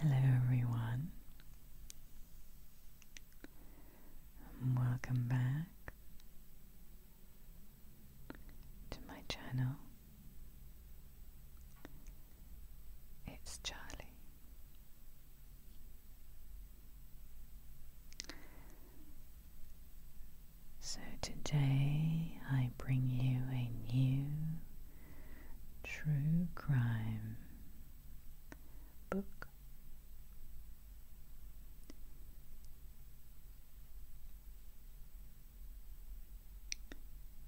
Hello, everyone, welcome back to my channel. It's Charlie. So today I I bring you a new true crime book.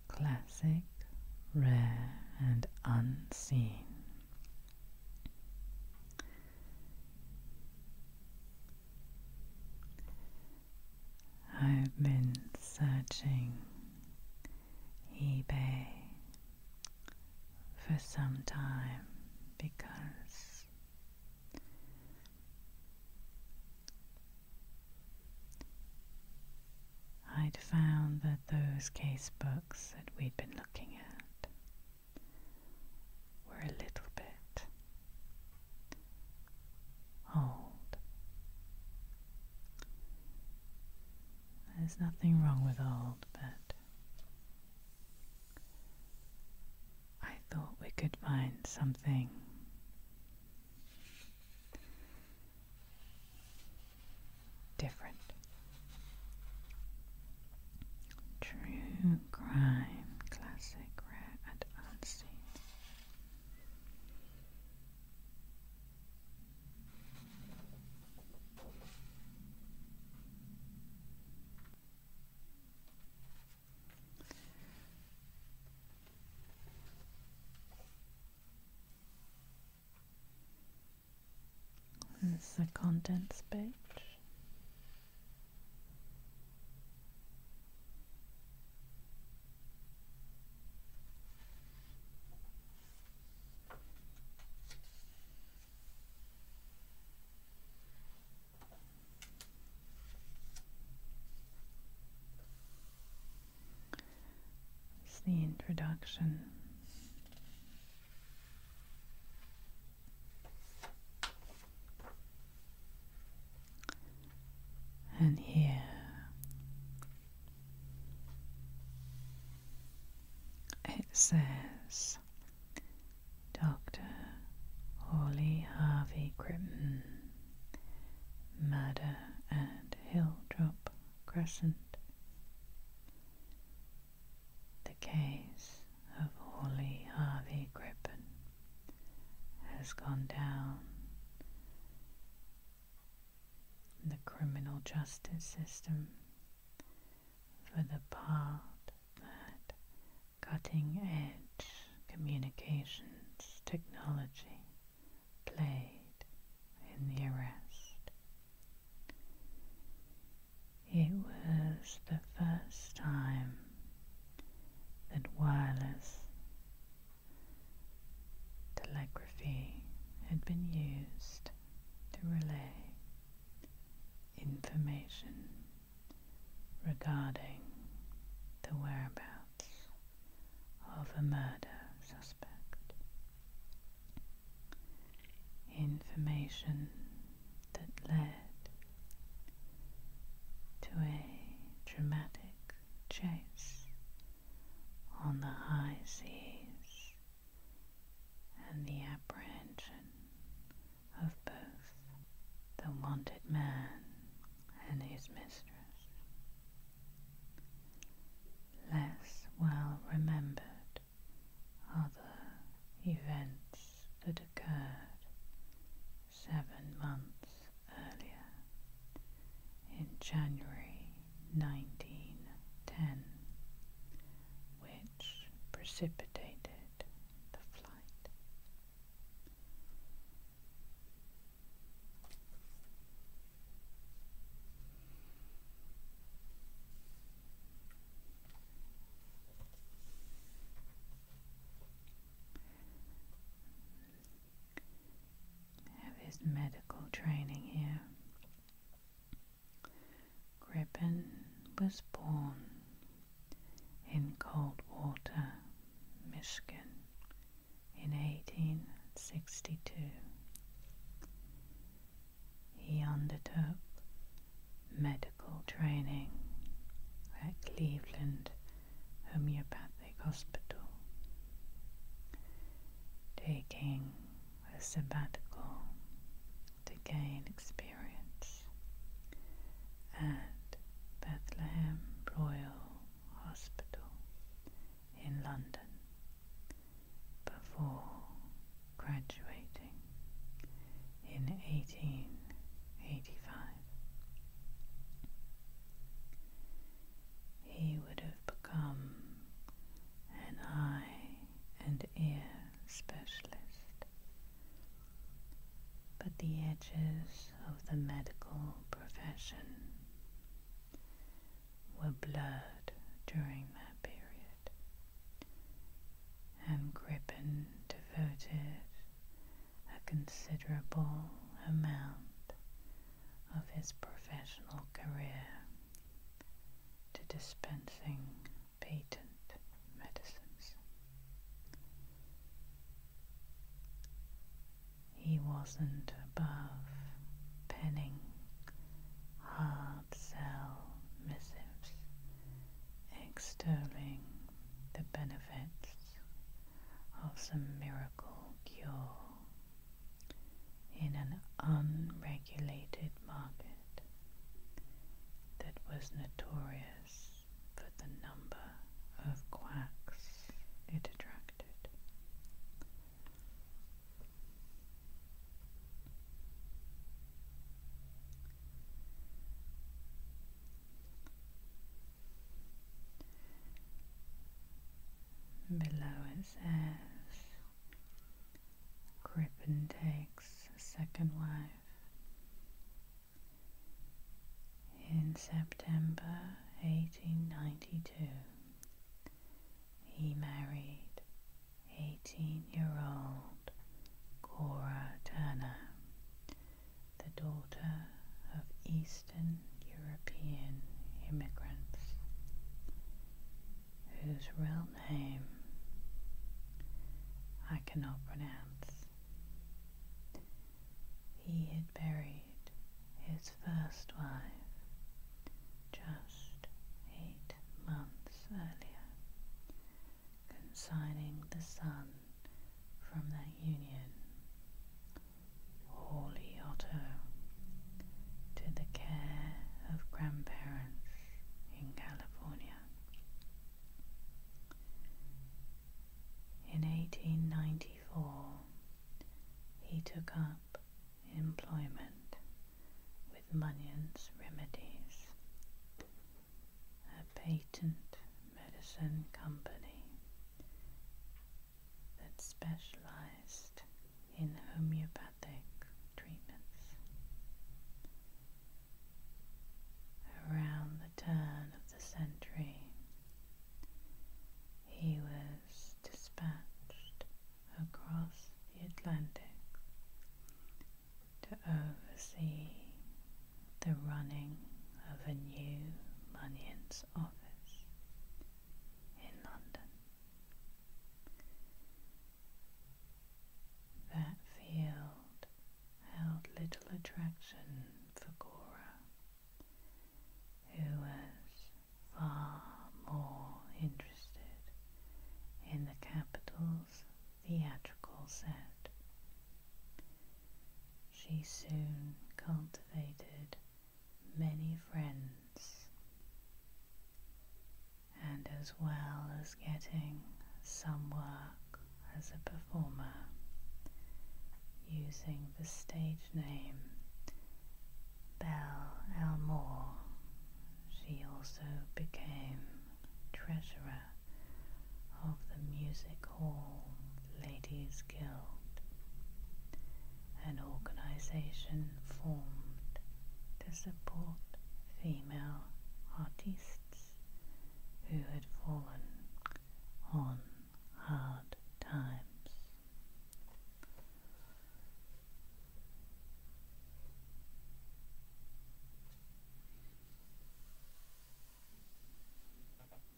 Classic, rare, and unseen. I've been searching eBay for some time because I'd found that those case books that we'd been looking at were a little bit Hold. There's nothing wrong with old, but I thought we could find something. Different. True crime, classic, rare, and unseen. This is the contents page. It's the introduction and here. It says Dr. Hawley Harvey Crippen, murder at Hilldrop Crescent. The case of Hawley Harvey Crippen has gone down the criminal justice system for the part that cutting edge communications technology played in the arrest. It was the first time that wireless Telegraphy had been used to relay information regarding the whereabouts of a murder suspect. Information that led to a dramatic chase on the high seas and the apprehension of both the wanted man and his mistress. Less well remembered are the events that occurred seven months earlier in January 1910, which precipitated the flight have his medical training here. Gripen was born in Coldwater, Michigan in 1862. He undertook medical training at Cleveland homeopathic hospital, taking a sabbatical to gain experience at Bethlehem Royal Hospital in London before graduating in 1885 he would have become an eye and ear specialist. But the edges of the medical profession were blurred during that period, and Crippen devoted a considerable amount of his professional career to dispensing patent medicines. He wasn't above penning hard sell missives extolling the benefits of some miracle cure in an unregulated market that was notorious for the number of quacks it attracted. Below it says Crippen takes a second wife. In September 1892, he married 18 year old Cora Turner, the daughter of Eastern European immigrants whose real name I cannot pronounce. He had buried his first wife just eight months earlier, consigning the son from that union Holy Otto, to the care of grandparents in California. In 1894, he took up employment with Munyon's Remedies, a patent medicine company that specialized in homeopathic treatments. Around the turn of the century, he was dispatched across the Atlantic to oversee the running of a new Munion's office in London. That field held little attraction for Cora, who was far more interested in the capital's theatrical set. She soon cultivated many friends, and as well as getting some work as a performer using the stage name Belle Elmore, she also became treasurer of the Music Hall Ladies skilled. An organization formed to support female artists who had fallen on hard times.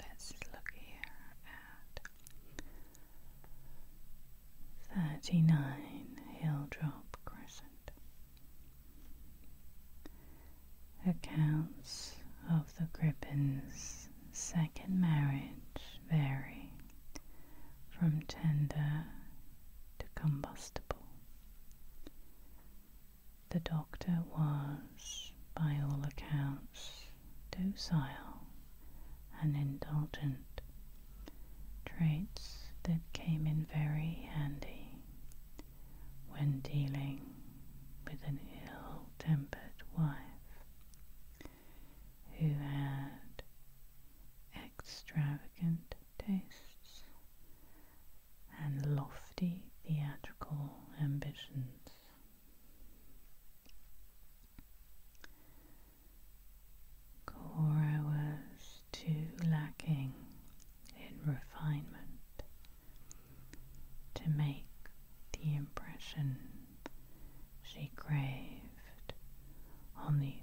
Let's look here at thirty nine Hilldrop Crescent. Accounts of the Grippen's second marriage vary from tender to combustible. The doctor was, by all accounts, docile and indulgent, traits that came in very handy when dealing with an ill tempered wife who had extravagant tastes and lofty theatrical ambitions. Cora was too lacking in refinement to make the impression she craved on the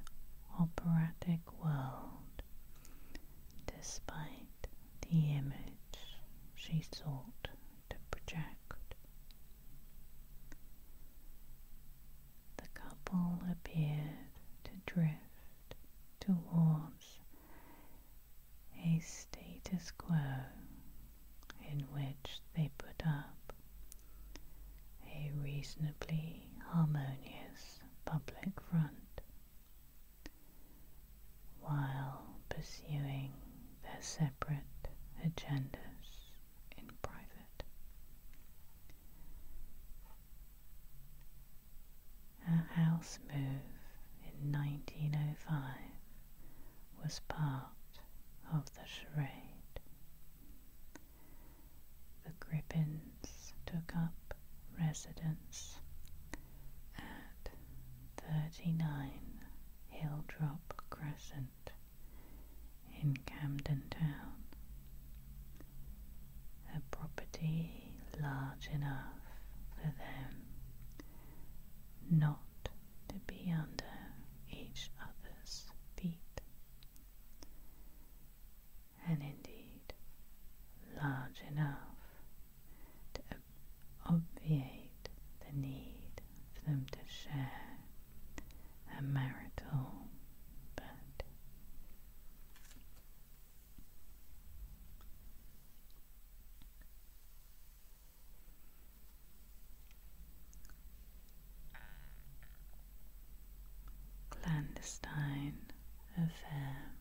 operatic world despite the image she sought to project. The couple appeared to drift toward a status quo in which they put up a reasonably harmonious public front while pursuing their separate agendas in private. A house move in 1905 was part of the charade. The Grippins took up residence at 39 Hilldrop Crescent in Camden Town, a property large enough for them not to be under each other's feet. And indeed, large enough to obviate the need for them to share a marital bed. Clandestine affair.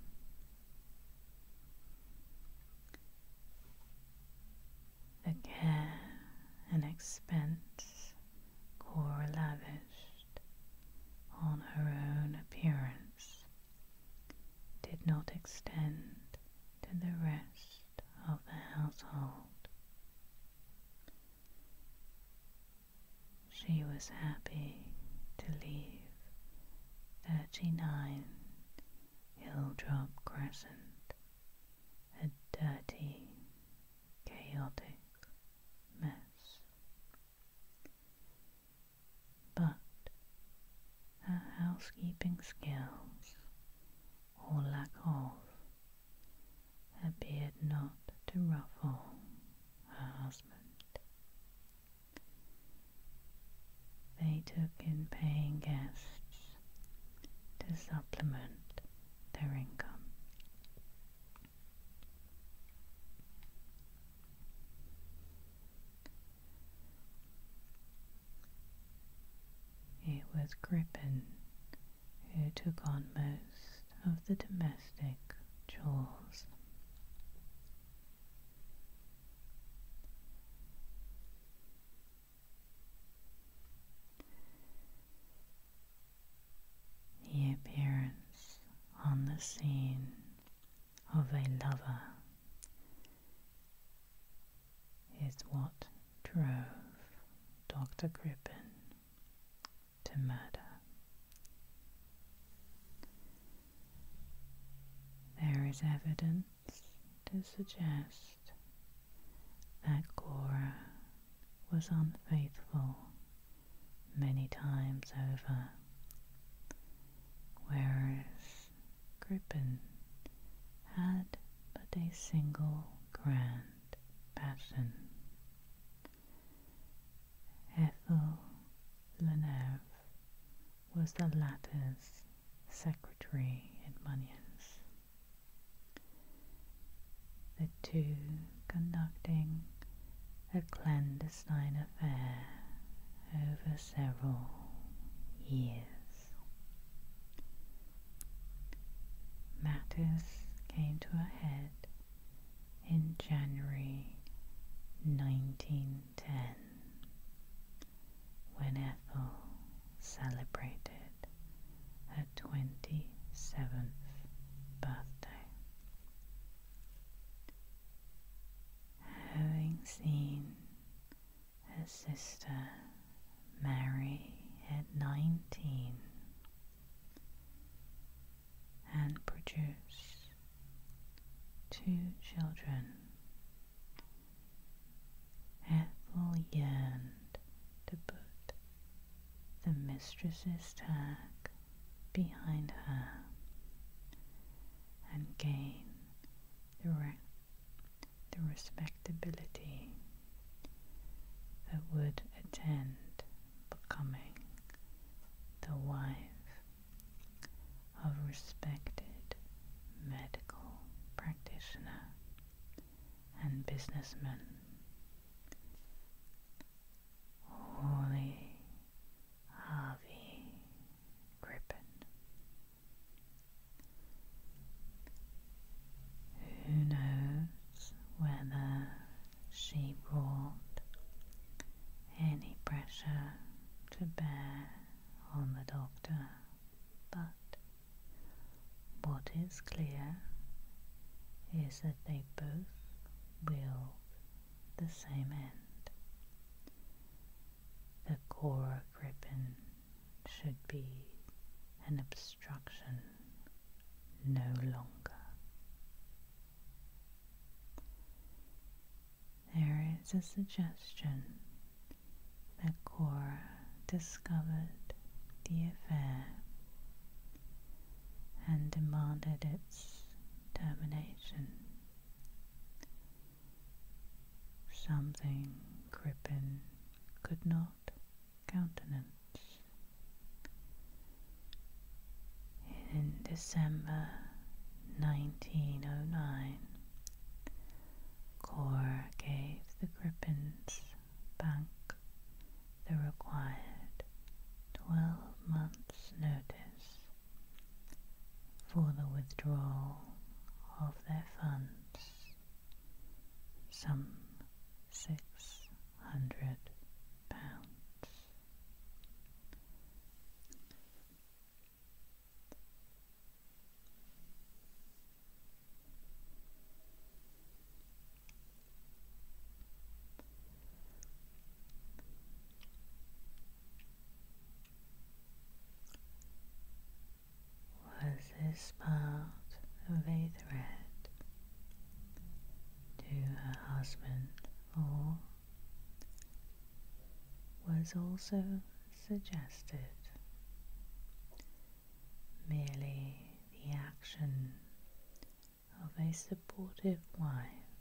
The care and expense Cora lavished on her own appearance did not extend to the rest of the household. She was happy to leave 39 Hilldrop Crescent a dirty, chaotic mess but her housekeeping skills, or lack of, appeared not to ruffle her husband. They took in paying guests to supplement their income. It was Grippen who took on most of the domestic chores. The appearance on the scene of a lover is what drove Dr. Crippen to murder. There is evidence to suggest that Cora was unfaithful many times over, whereas Gripen had but a single grand passion. Ethel Leneve was the latter's secretary in Bunyan's. The two conducting a clandestine affair over several years. Matters came to a head in January 1910 when Ethel celebrated her 27th birthday. Having seen her sister Mary at 19 and produce two children. Ethel yearned to put the mistress's tag behind her and gain the the respectability that would attend becoming the wife of respected medical practitioner and businessman. Hawley Harvey Gripen who knows whether she brought any pressure to bear on the doctor, but what is clear is that they both will the same end. The Cora Griffin should be an obstruction no longer. There is a suggestion that Cora discovered the affair and demanded its termination something Crippen could not countenance. In December 1909, Cora gave the Crippens Bank the required 12 months' notice for the withdrawal of their funds some six hundred pounds. Was this part of a threat to her husband, or was also suggested merely the action of a supportive wife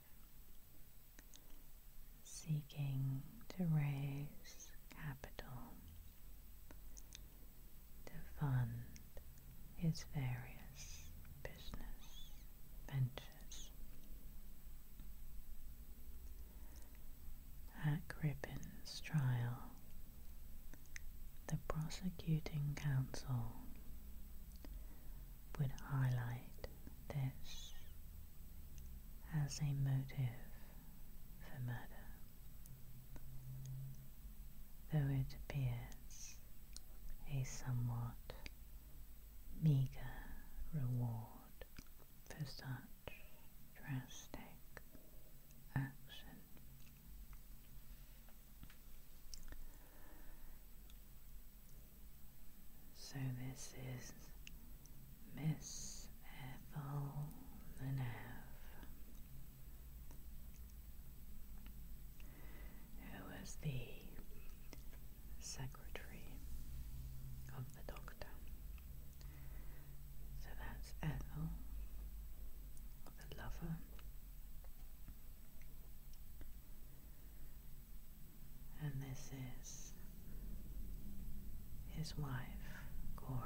seeking to raise capital to fund his various business ventures. At Cribbin's trial, the prosecuting counsel would highlight this as a motive for murder. Though it appears a somewhat meagre reward for such drastic action. So, this is Miss Ethel Leneve, who was the secretary of the doctor. So that's Ethel, the lover. And this is his wife, Cora.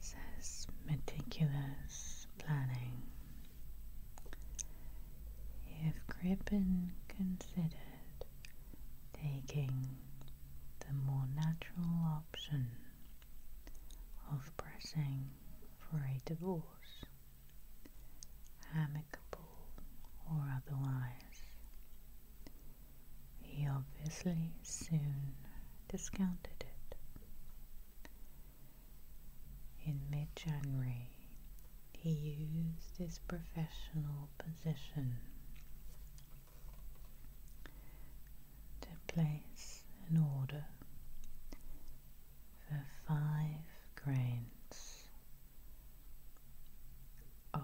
says meticulous planning. If Crippen considered taking the more natural option of pressing for a divorce, amicable or otherwise. He obviously soon discounted it. In mid January, he used his professional position to place an order for five grains of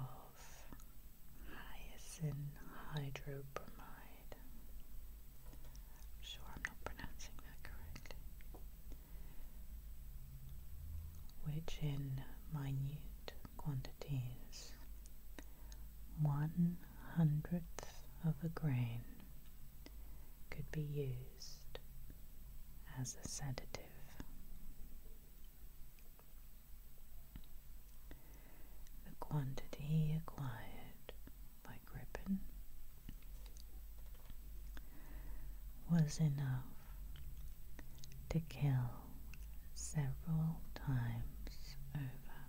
hyacinth hydrobromide. sure I'm not pronouncing that correctly. Which in minute quantities, one hundredth of a grain could be used as a sedative. The quantity acquired by Crippen was enough to kill several times over.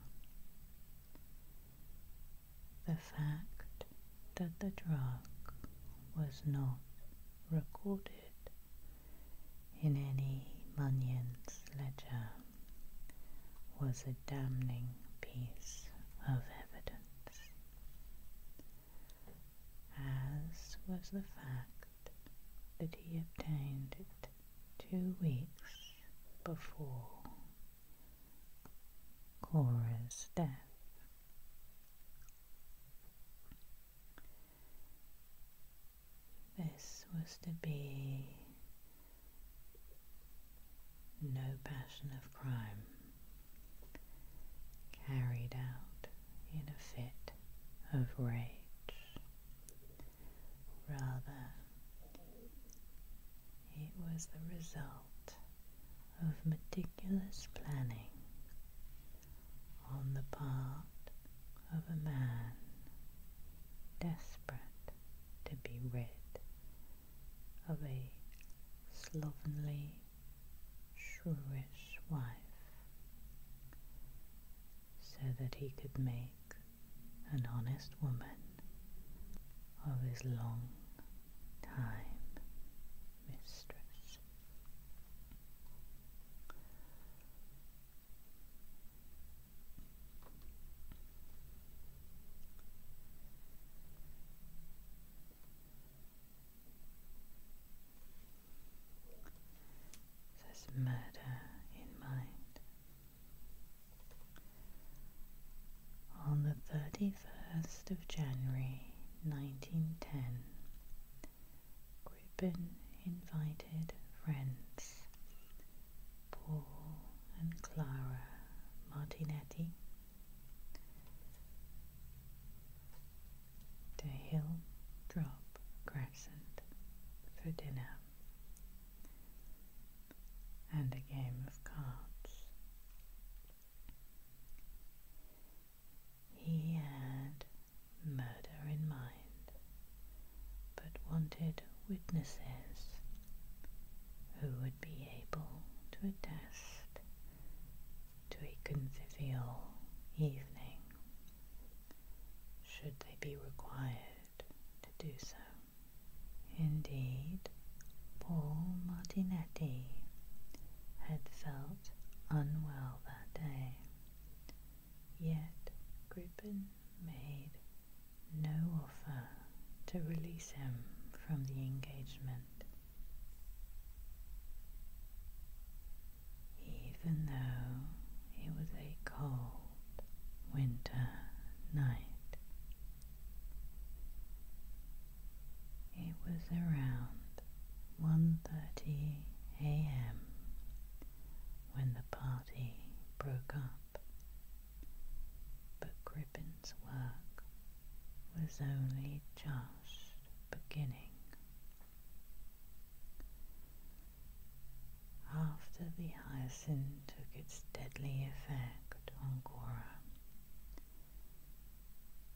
The fact that the drug was not recorded in any Bunyan's ledger was a damning piece of evidence, as was the fact that he obtained it two weeks before Cora's death. This was to be no passion of crime carried out in a fit of rage. Rather, it was the result of meticulous planning on the part of a man desperate to be rid of a slovenly, shrewish wife so that he could make an honest woman of his long time mistress. This murder in mind. On the 31st of January 1910, Crippen invited friends Paul and Clara Martinetti to Hill Drop Crescent for dinner and a game of cards. He had murder in mind, but wanted witnesses who would be able to attest to a convivial evening, should they be required to do so. Indeed, Paul Martinetti had felt unwell that day. Yet Gripen made no offer to release him from the engagement. Even though it was a cold winter night, it was around 1.30 a.m. when the party broke up, but Grippen's work was only just beginning. After the hyacinth took its deadly effect on Cora,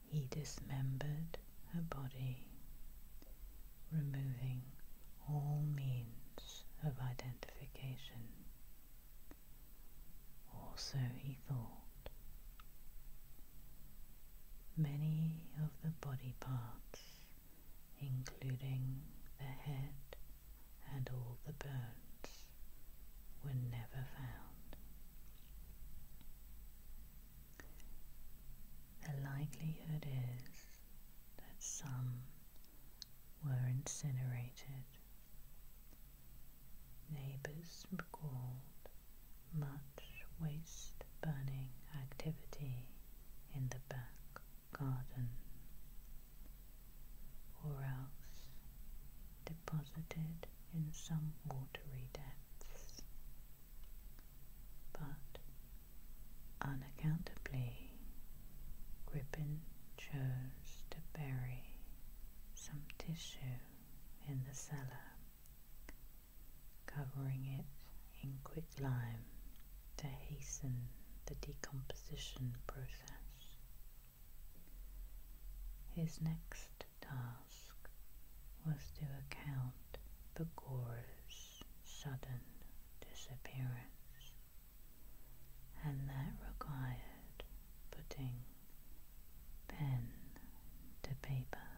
he dismembered her body, removing all means of identification. Or so he thought. Many of the body parts, including the head and all the bones, were never found the likelihood is that some were incinerated. Neighbours recalled much waste burning activity in the back garden, or else deposited in some watery depths but unaccountably, Gribbon chose to bury some tissue in the cellar, covering it in quicklime to hasten the decomposition process. His next task was to account for Gore's sudden disappearance, and that required putting pen to paper.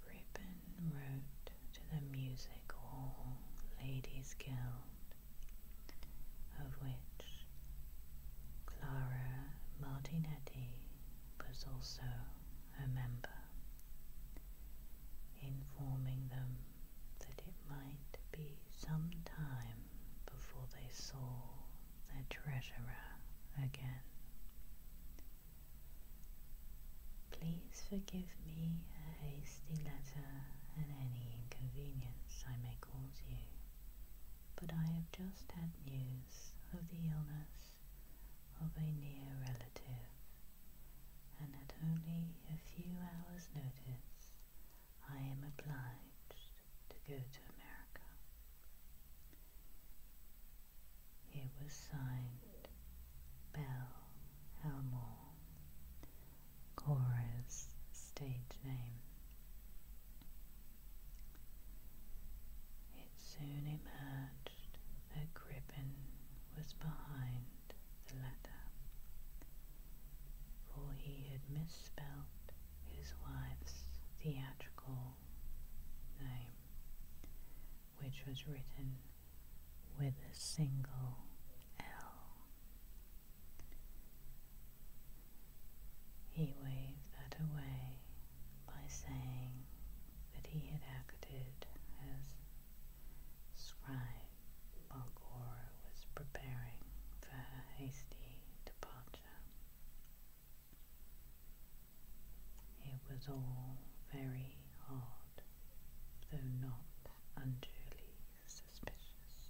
Grippen wrote to the Music Hall Ladies Guild of which Clara Martinetti was also a member, informing them that it might be some time before they saw their treasurer again. Please forgive me a hasty letter and any inconvenience I may tickles you, but I have just had news of the illness of a near relative, and at only a few hours' notice I am obliged to go to America. It was signed Bell Elmore, Cora's stage name. It soon emerged that Gribbon was behind the letter, for he had misspelt his wife's theatrical name, which was written with a single L. He waved that away by saying that he had acted as scribe while Gora was preparing for her hasty departure. It was all very hard, though not unduly suspicious.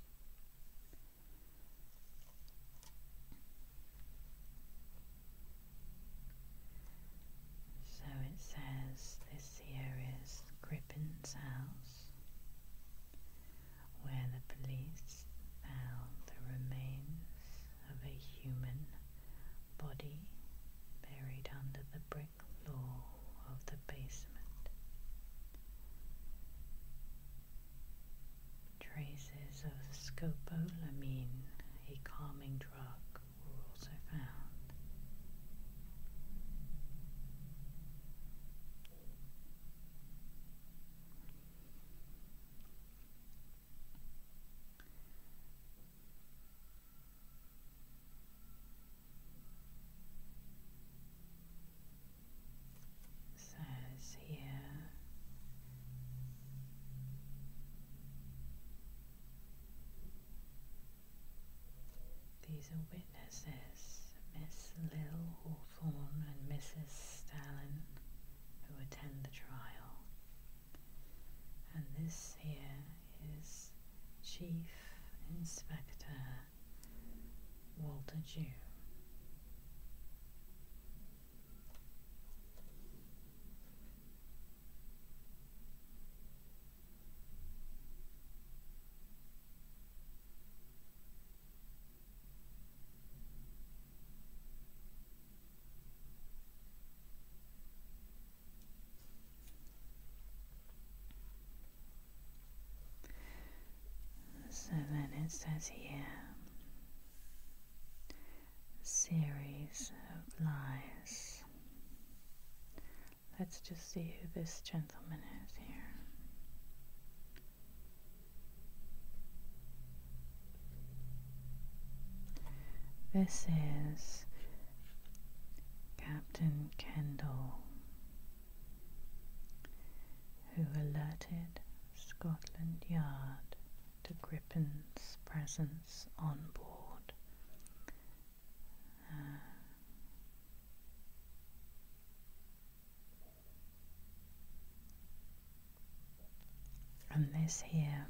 So it says this here is the Grippen's house, where the police found the remains of a human body buried under the brick floor of the basement. Traces of scopolamine, a calming drug, were also found says here these are witnesses, Miss Lil Hawthorne and Mrs. Stalin, who attend the trial. And this here is Chief Inspector Walter Jew. So then it says here series of lies. Let's just see who this gentleman is here. This is Captain Kendall who alerted Scotland Yard to Grippen's presence on board. and this here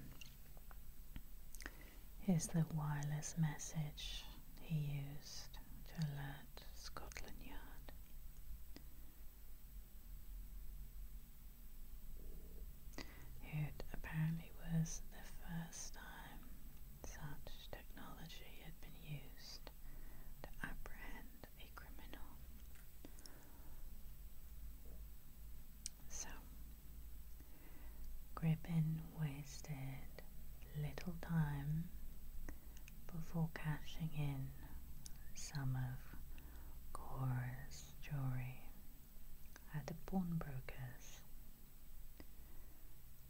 is the wireless message he used to alert. Scotland Yard. It apparently was the first time such technology had been used to apprehend a criminal. So, Gribbon wasted little time before cashing in some of Cora's jewelry at the pawnbroker's.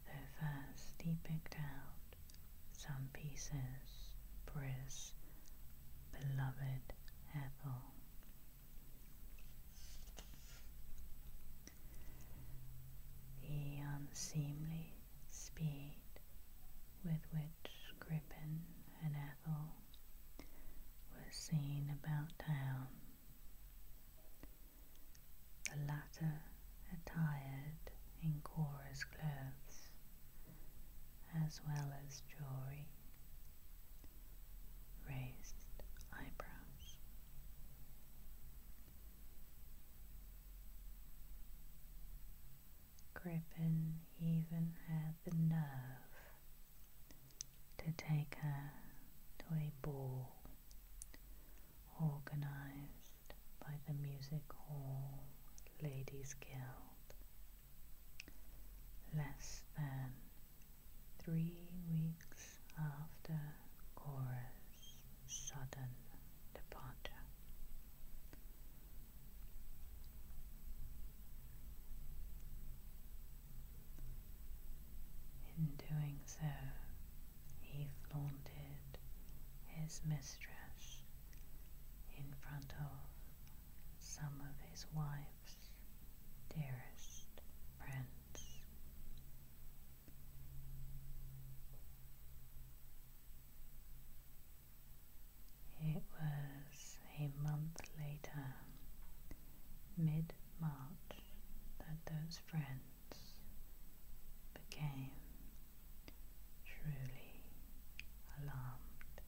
Though first he picked out some pieces for beloved Ethel. The unseemly speed with which Crippen and Ethel were seen about town, the latter attired in Cora's clothes as well as jewelry, raised eyebrows. Griffin even had the nerve to take her to a ball organised by the Music Hall Ladies Guild less than three weeks after Cora's sudden departure. In doing so, he flaunted his mistress in front of some of his wife's dearest friends. It was a month later, mid March, that those friends became truly alarmed.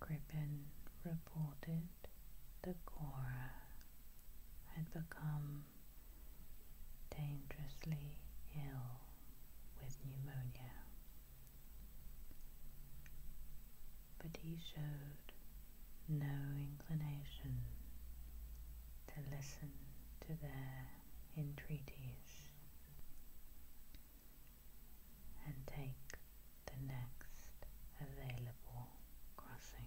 Crippen reported that Cora had become dangerously ill with pneumonia. But he showed no inclination to listen to their entreaties and take the next available crossing.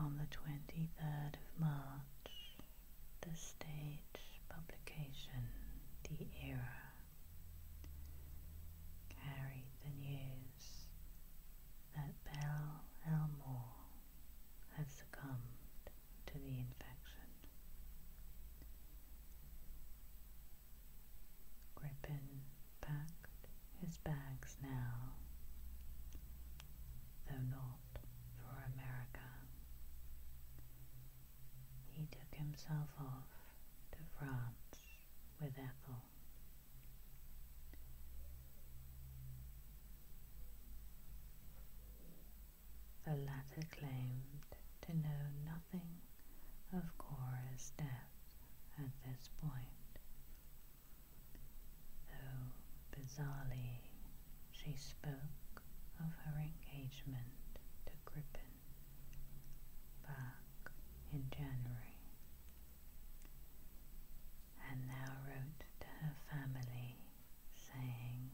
On the 23rd of March, the stage publication The Era carried the news that Belle Elmore had succumbed to the infection. Grippin packed his bags now, though not for America. He took himself off to France with Ethel. The latter claimed to know nothing of Cora's death at this point, though bizarrely she spoke of her engagement to Crippen back in January and now wrote to her family saying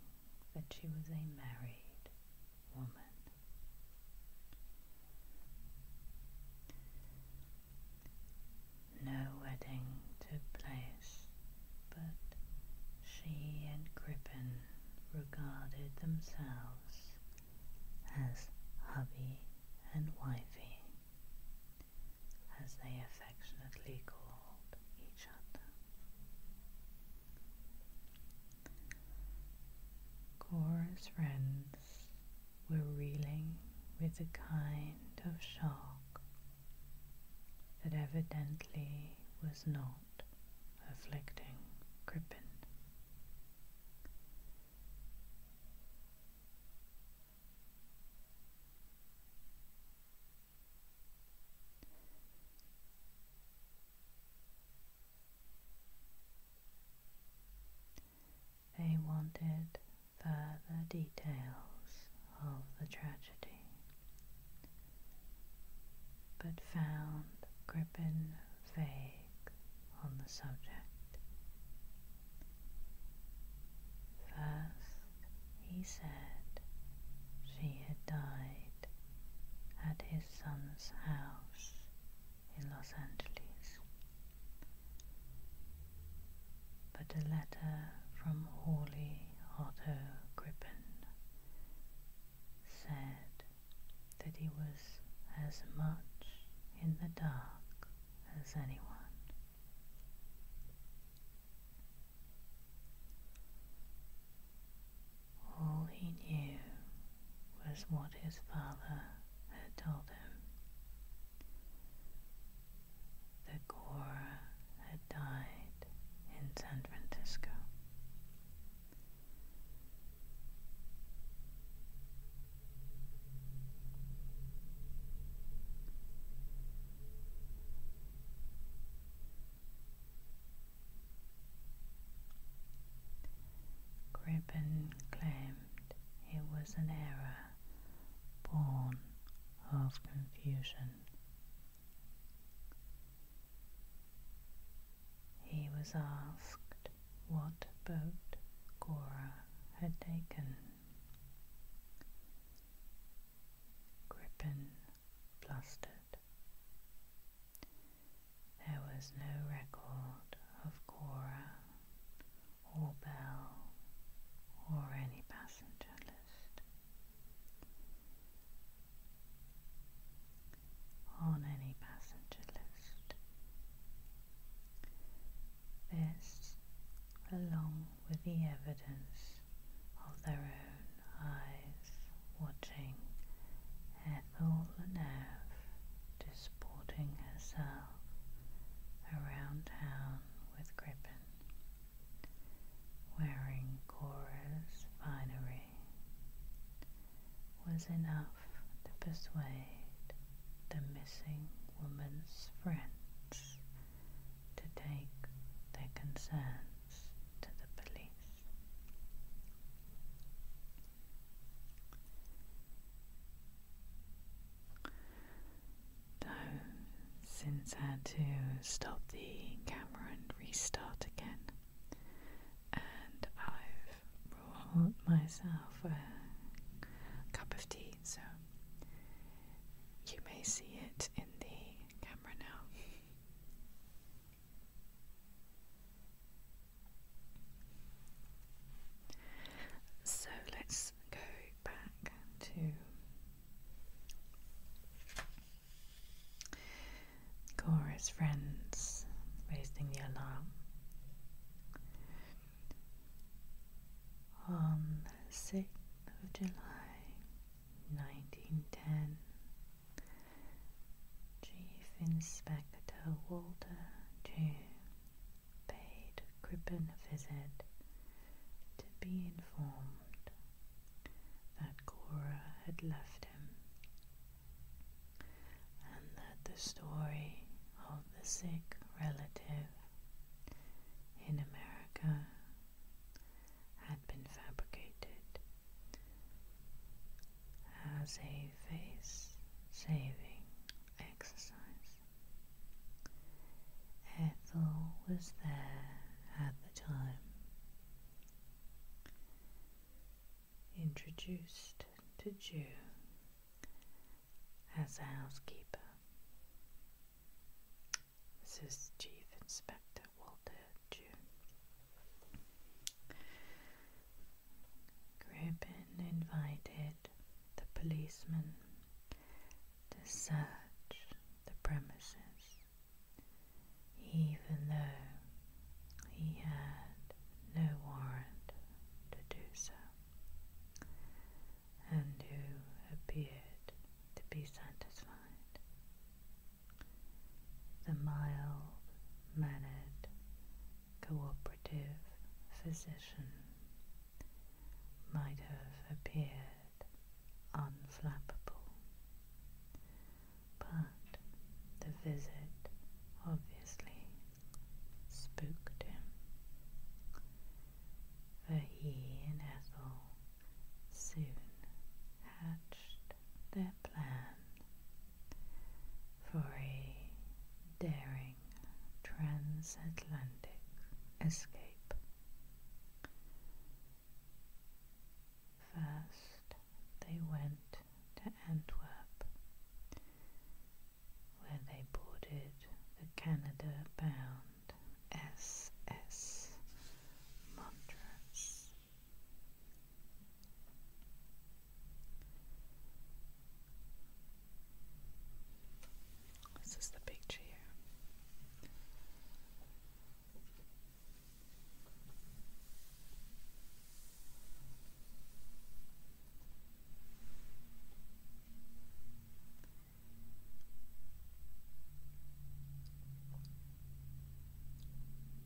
that she was a married woman. No wedding took place, but she and Crippen regarded themselves as hubby and wifey, as they affectionately called each other. Cora's friends were reeling with a kind of shock that evidently was not afflicting Crippen. They wanted further details of the tragedy, but found Crippen vague on the subject. First, he said she had died at his son's house in Los Angeles. But a letter from Hawley Otto Grippen said that he was as much in the dark as anyone. All he knew was what his father had told him. The Gora had died in San Francisco. Gribben claimed it was an error born of confusion. He was asked what boat Gora had taken. Grippen blustered. There was no record of Cora or Bell or any passenger list. On any passenger list. This, along with the evidence of their own eyes watching Ethel Leneve disporting herself around town with Crippen, wearing Cora's finery, was enough to persuade the missing woman's friends to take their concern to the police. So, since I had to stop the camera and restart again, and I've brought myself a cup of tea, so you may see it in the camera now. So let's go back to Cora's friends raising the alarm. On the 6th of July, 1910. Chief Inspector Walter June paid Crippen a visit to be informed that Cora had left him and that the story of the sick relative in America had been fabricated as a face saving exercise. Ethel was there at the time, introduced to Jew as a housekeeper. This Chief Inspector Walter virtue. invited the policeman to search the premises, even though he had no warrant to do so, and who appeared to be satisfied the mild mannered cooperative physician might have appeared unflappable, but the visit obviously spooked him, for he and Ethel soon hatched their plan for a daring transatlantic escape. First, they went to Antwerp, where they boarded the Canada bound SS Montrose this is the picture here.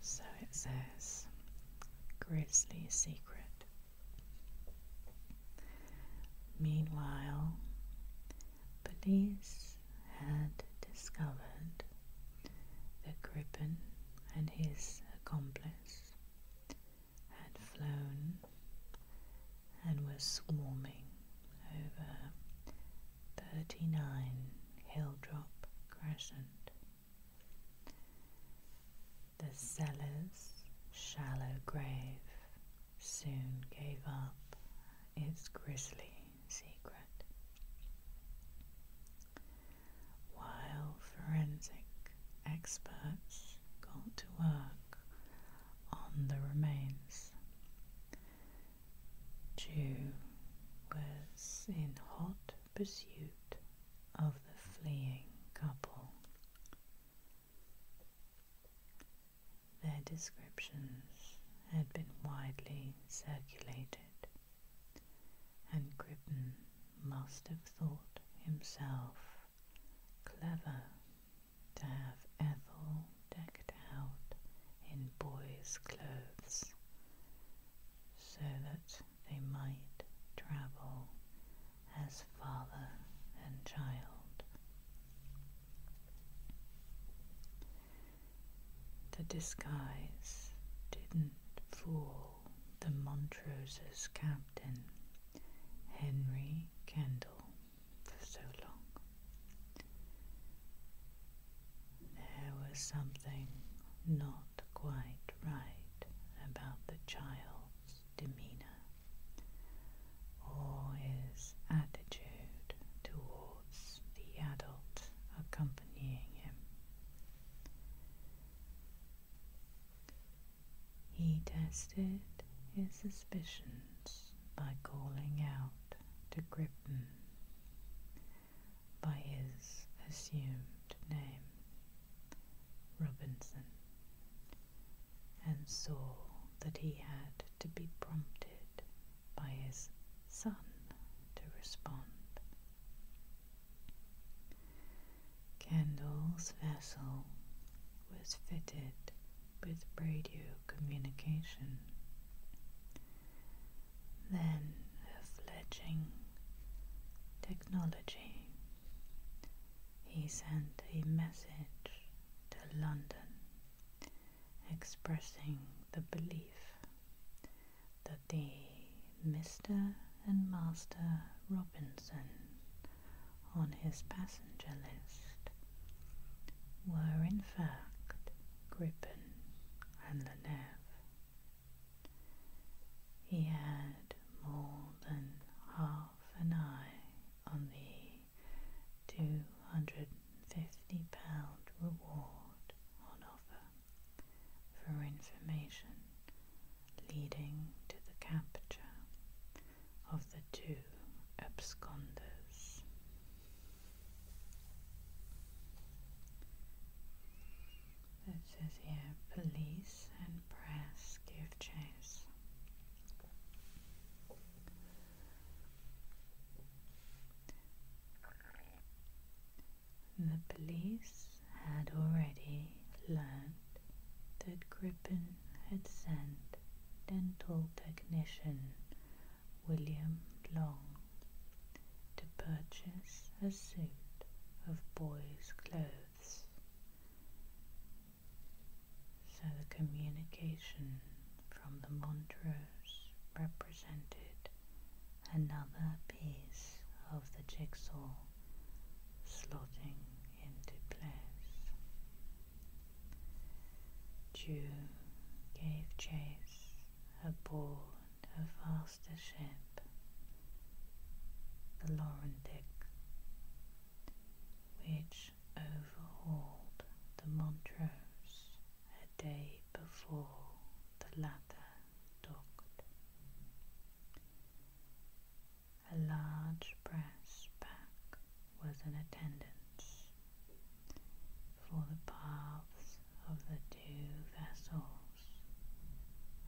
So it says Grisly Secret. Meanwhile, police had discovered that Gripen and his accomplice had flown and were swarming over 39 Hilldrop Crescent. The cellar's shallow grave soon gave up its grisly secret. While forensic experts got to work on the remains, Jew was in hot pursuit of the fleeing couple. Their descriptions had been widely circulated, and Grippen must have thought himself clever to have Ethel decked out in boys' clothes so that they might travel as father and child. The disguise didn't fool the Montrose's captain, Henry Kendall for so long. There was something not quite right about the child's demeanour or his attitude towards the adult accompanying him. He tested his suspicions by calling out to Crippen by his assumed name, Robinson, and saw that he had to be prompted by his son to respond. Kendall's vessel was fitted with radio communication. Then a fledging technology. He sent a message to London expressing the belief that the Mr. and Master Robinson on his passenger list were in fact Gripen, and Leneve. He had more than half an eye on the two hundred and fifty pound reward on offer for information leading to the capture of the two absconders. It says here police and press give chase. The police had already learned that Gripen had sent dental technician William Long to purchase a suit of boys' clothes. So the communication from the Montrose represented another piece of the jigsaw slotting into place. Jew gave chase aboard her faster ship, the Laurentic, which overhauled the Montrose a day before the latter docked. A large brass pack was in attendance, for the paths of the two vessels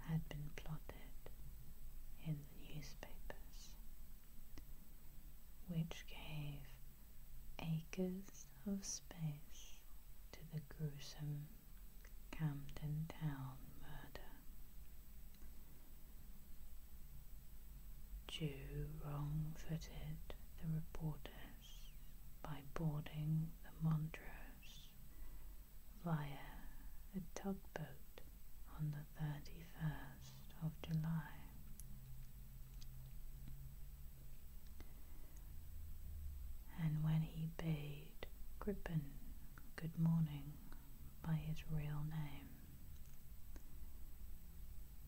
had been plotted in the newspapers, which gave acres of space to the gruesome Camden Town murder. Jew wrong footed the reporter by boarding the Montrose via a tugboat on the 31st of July. And when he bade Crippen good morning by his real name,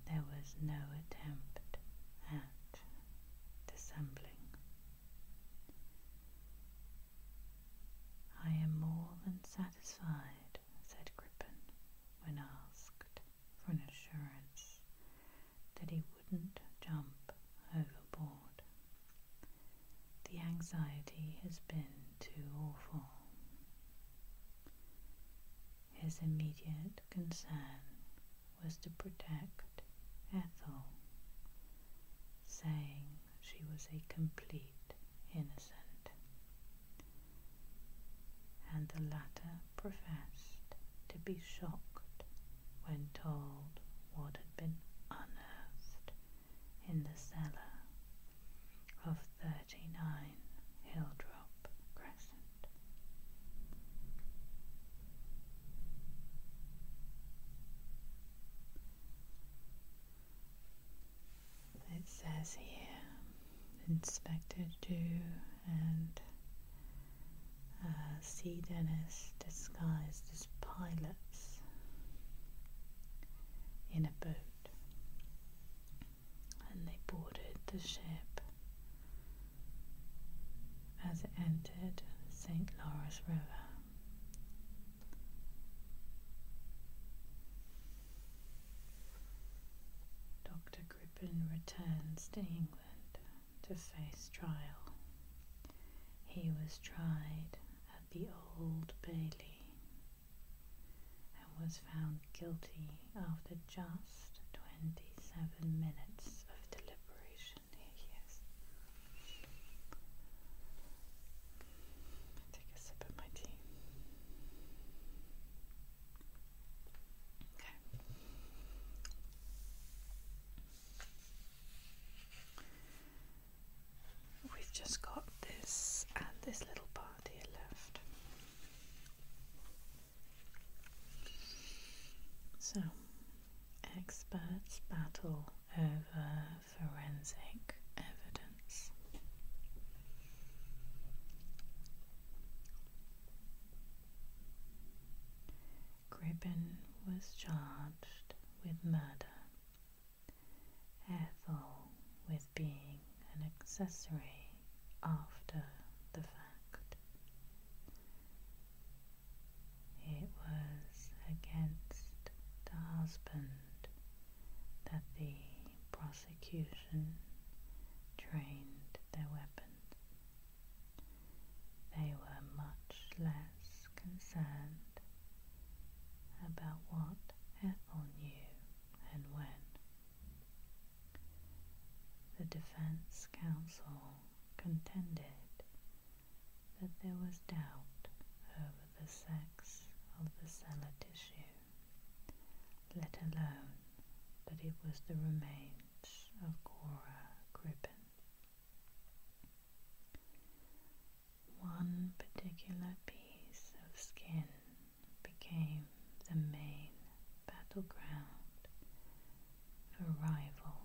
there was no attempt at dissembling. I am more than satisfied, said Crippen, when asked for an assurance that he wouldn't jump overboard. The anxiety has been too awful. His immediate concern was to protect Ethel, saying she was a complete innocent, and the latter professed to be shocked when told what had been unearthed in the cellar of 39 Hilldrop. It says here, inspected Dew and uh, C. Dennis disguised as pilots in a boat, and they boarded the ship as it entered St. Lawrence River. Dr. Crippen returns to England to face trial. He was tried at the Old Bailey and was found guilty of the just 27 minutes of deliberation. Here Take a sip of my tea. Okay. We've just got this and this little part here left. So, experts battle over forensic evidence. Gribbon was charged with murder, Ethel with being an accessory after the fact, it was against the husband that the prosecution trained their weapons. They were much less concerned about what Ethel knew and when. The defense counsel contended that there was doubt over the sex of the cellar tissue, let alone that it was the remains of Cora Crippen. One particular piece of skin became the main battleground for rival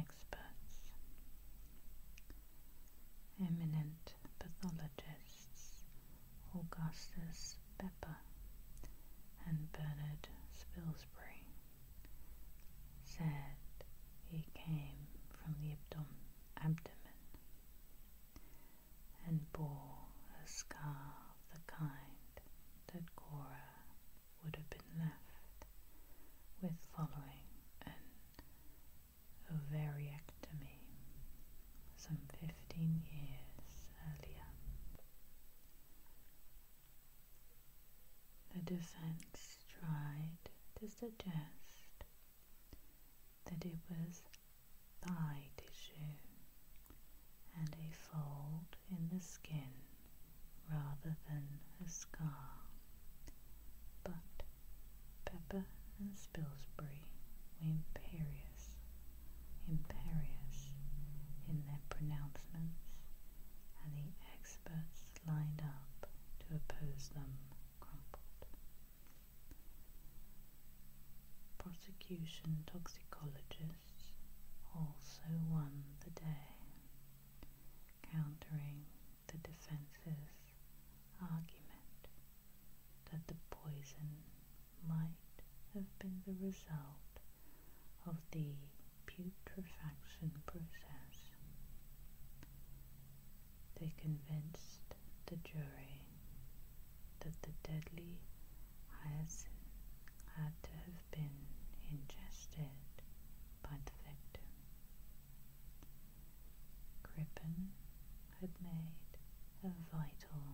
experts. Eminent pathologists Augustus Pepper and Bernard Spilsbury said he came from the abdomen and bore a scar of the kind that Cora would have been left with following an ovariectomy some 15 years earlier. The defense tried to suggest that it was thigh tissue and a fold in the skin rather than a scar. But Pepper and Spilsbury were imperious, imperious in their pronouncements, and the experts lined up to oppose them crumpled. Prosecution toxicologist also won the day, countering the defense's argument that the poison might have been the result of the putrefaction process. They convinced the jury that the deadly as had to have been ingested by the victim. Crippen had made a vital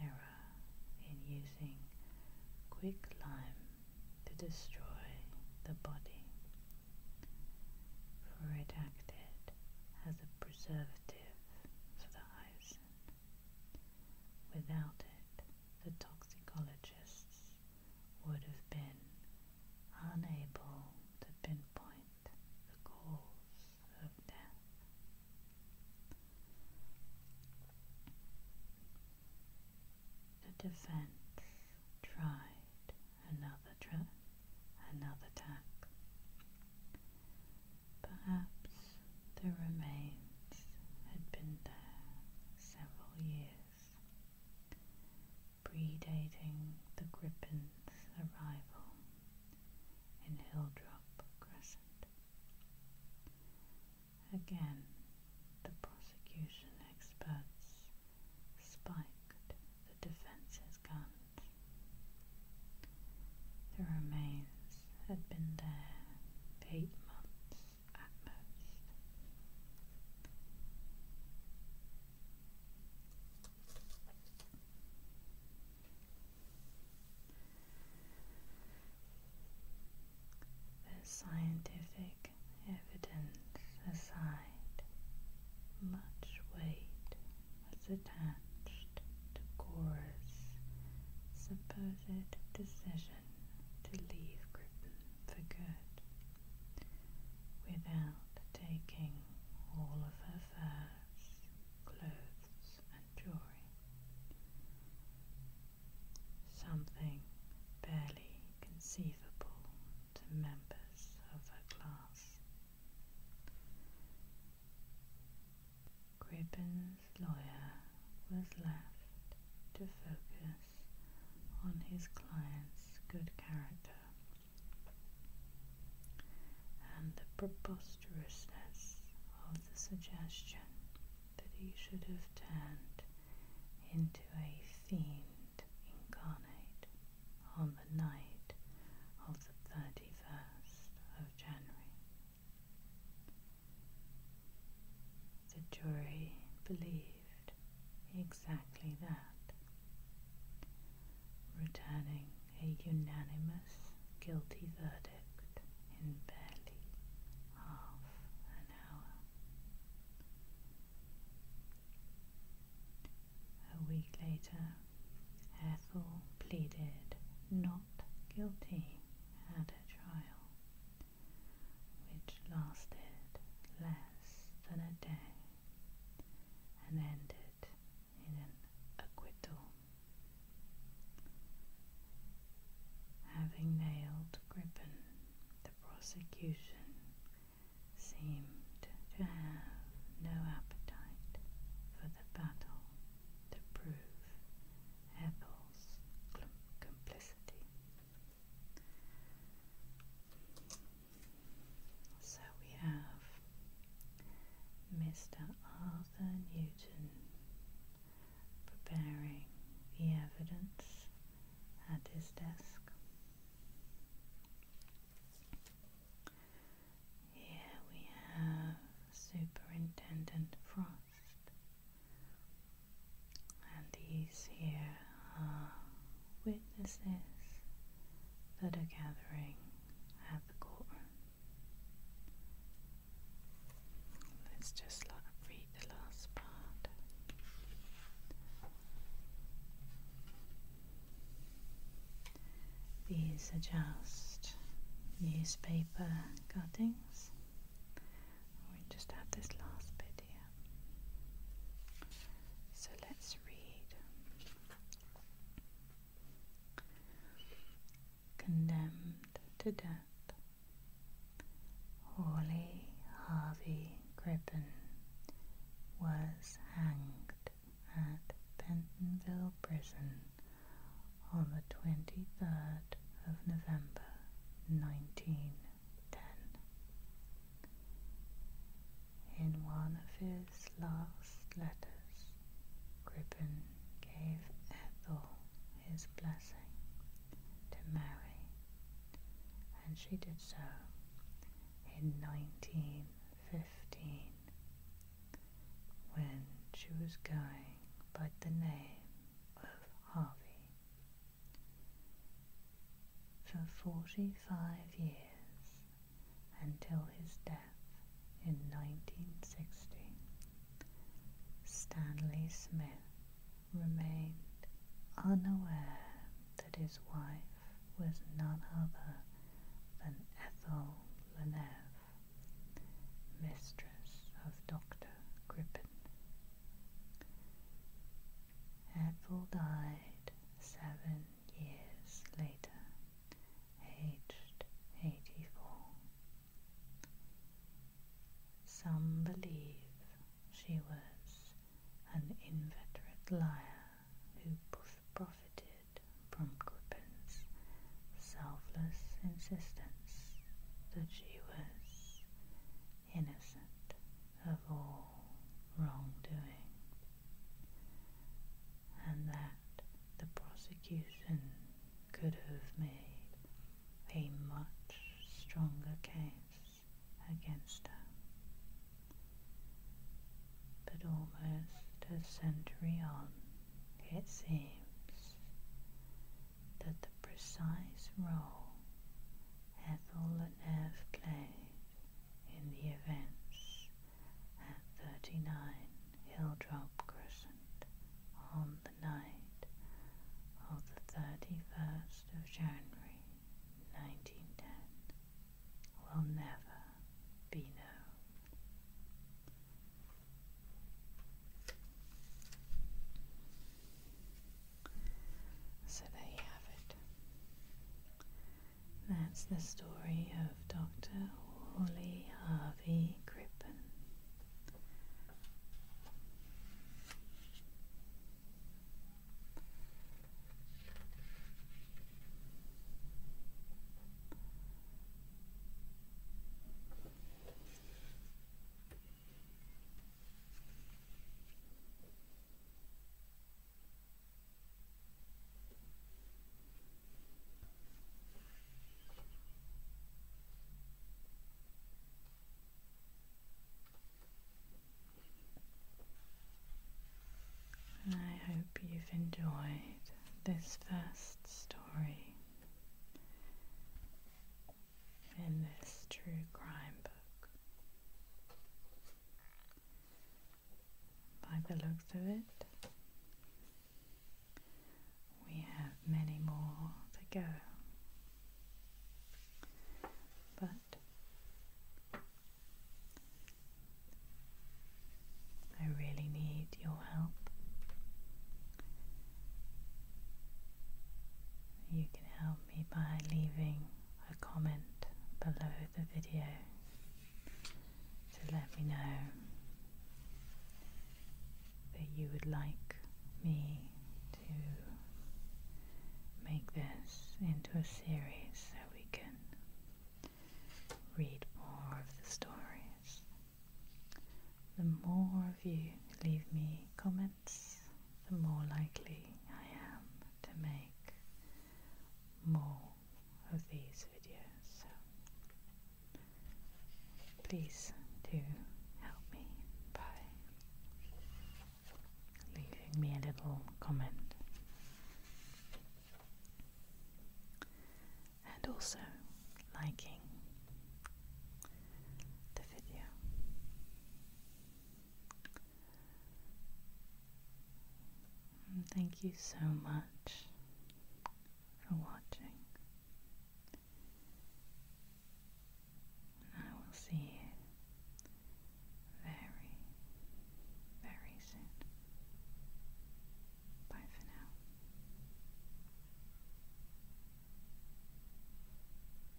error in using quicklime to destroy the body, for it acted as a preservative for the hyson. Without it, the toxicologists would have been unable to pinpoint the cause of death. The defense tried another tra another tack. Perhaps the remains had been there several years, predating the Grippen's arrival in Hilldrop Crescent. Again, the prosecution experts spiked the defense's guns. The remains had been there eight months the scientific evidence aside, much weight was attached to Gore's supposed decision to leave Griffin for good without taking all of her furs, clothes, and jewelry. Something barely conceivable to members of her class. Gribbon his lawyer was left to focus on his client's good character and the preposterousness of the suggestion that he should have turned into a fiend incarnate on the night of the 31st of January. The jury believed exactly that, returning a unanimous guilty verdict in barely half an hour. A week later, Ethel pleaded not guilty at a trial which lasted less than a day and ended in an acquittal. Having nailed Gripen, the prosecution seemed to have no appetite for the battle to prove Ethel's complicity. So we have Mr. Arthur Newton preparing the evidence at his desk. Here we have Superintendent Fry and these here are witnesses that are gathering at the courtroom. Let's just read the last part. These are just newspaper cuttings we just have this last bit here. So let's read. Condemned to death, Hawley Harvey Crippen was hanged at Bentonville Prison on the 23rd of November 19 in one of his last letters, Crippen gave Ethel his blessing to marry, and she did so in 1915 when she was going by the name of Harvey for 45 years until his death in 1960. Stanley Smith remained unaware that his wife was none other than Ethel Leneve, mistress of Dr. Gripen. Ethel died seven years later, aged 84. Some believe she was an inveterate liar who profited from Grippen's selfless insistence that she was innocent of all wrongdoing, and that the prosecution could have made a much stronger case against her. But almost a century on, it seems that the precise role Ethel and Ev played in the events at 39 Hilldrop Crescent on the night of the 31st of January 1910 will never be known. So there you have it. That's the story of Dr. Wally Harvey Crippen. I hope you've enjoyed this first story in this true crime book. By the looks of it, we have many more to go. But I really need your help. You can help me by leaving a comment below the video to let me know that you would like me to make this into a series so we can read more of the stories. The more of you leave me comments, the more likely I am to make more of these videos. So please do help me by leaving me a little comment. And also liking the video thank you so much for watching. I will see you very, very soon. Bye for now.